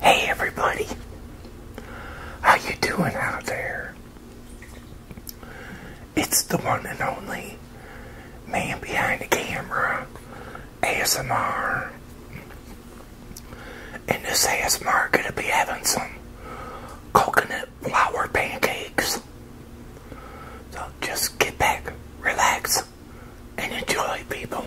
Hey everybody, how you doing out there? It's the one and only man behind the camera, ASMR. And this ASMR gonna be having some coconut flour pancakes. So just get back, relax, and enjoy people.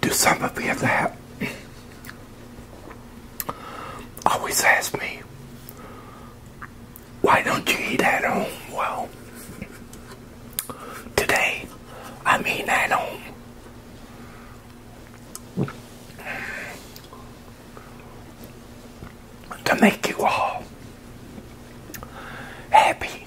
do some of you that always ask me, why don't you eat that home? Well, today I'm eating at home to make you all happy.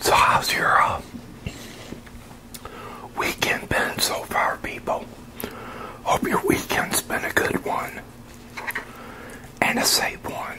So how's your uh, weekend been so far, people? Hope your weekend's been a good one and a safe one.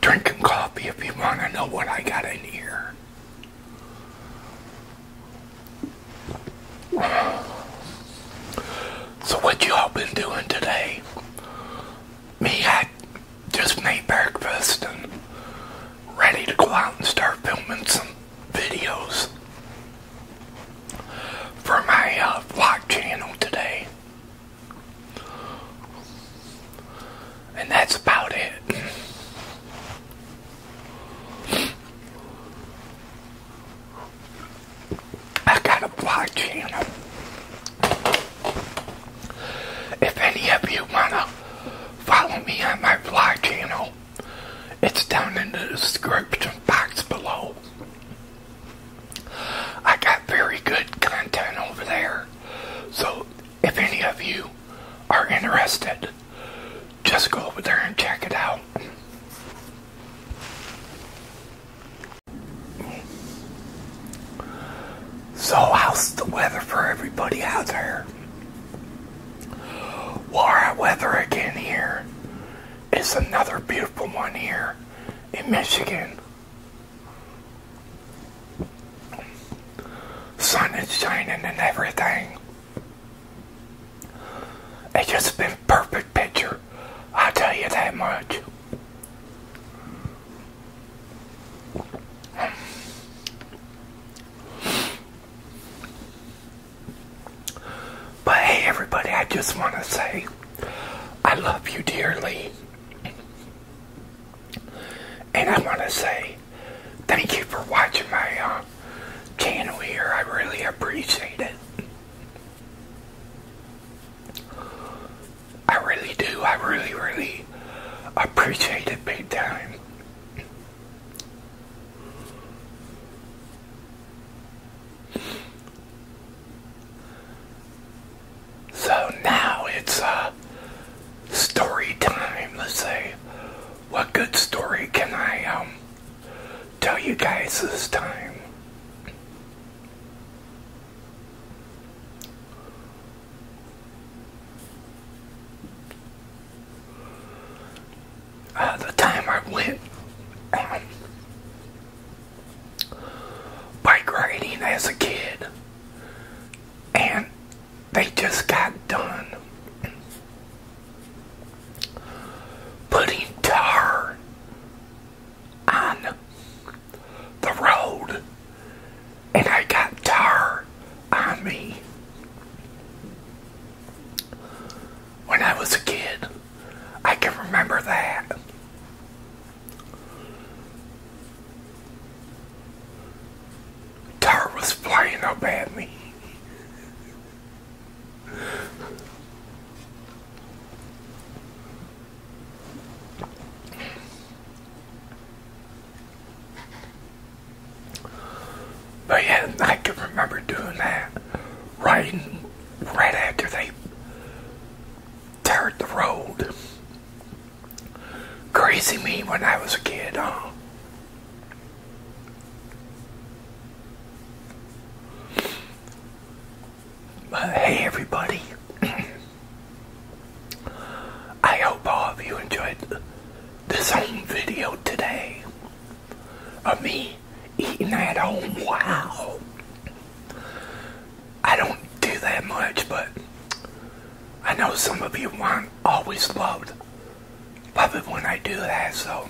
Drinking coffee if you want to know what I got in here. So what you all been doing today? Me, I just made breakfast and ready to go out and start filming some videos for my uh, vlog channel today. And that's about it. I got a vlog channel. If any of you want to follow me on my vlog channel, it's down in the description box below. I got very good content over there. So if any of you are interested, just go over there and check it out. So, how's the weather for everybody out there? Well, our weather again here is another beautiful one here in Michigan. Sun is shining and everything. It's just been perfect picture I'll tell you that much. But hey, everybody, I just want to say I love you dearly. And I want to say thank you for watching my uh, channel here. I really appreciate it. I really do. I really, really appreciate it big time. So now it's uh, story time. Let's say, what good story can I um, tell you guys this time. Uh, the time went bike riding as a kid, and they just got done putting tar on the road, and I got tar on me when I was a kid. I can remember that. Tar was flying up at me. But yeah, I can remember doing that right, right after they teared the road. Crazy me when I was a kid, huh? Hey everybody. I hope all of you enjoyed this home video today of me eating at home. Wow. I don't do that much, but I know some of you want always loved love it when I do that, so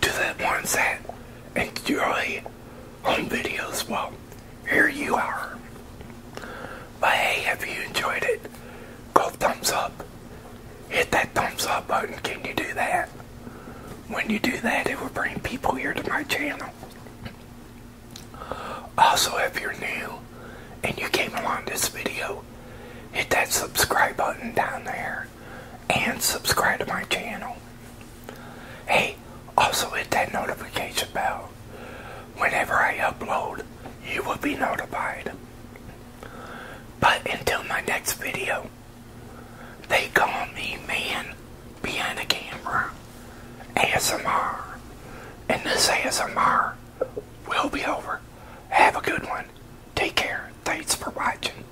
to the ones that enjoy home videos. Well, here you are. But hey, if you enjoyed it, go thumbs up. Hit that thumbs up button. Can you do that? When you do that, it will bring people here to my channel. Also, if you're new and you came along this video, hit that subscribe button down there and subscribe to my channel. Hey, also hit that notification bell. Whenever I upload, you will be notified. But until my next video, they call me Man Behind the Camera ASMR. And this ASMR will be over. Have a good one. Take care. Thanks for watching.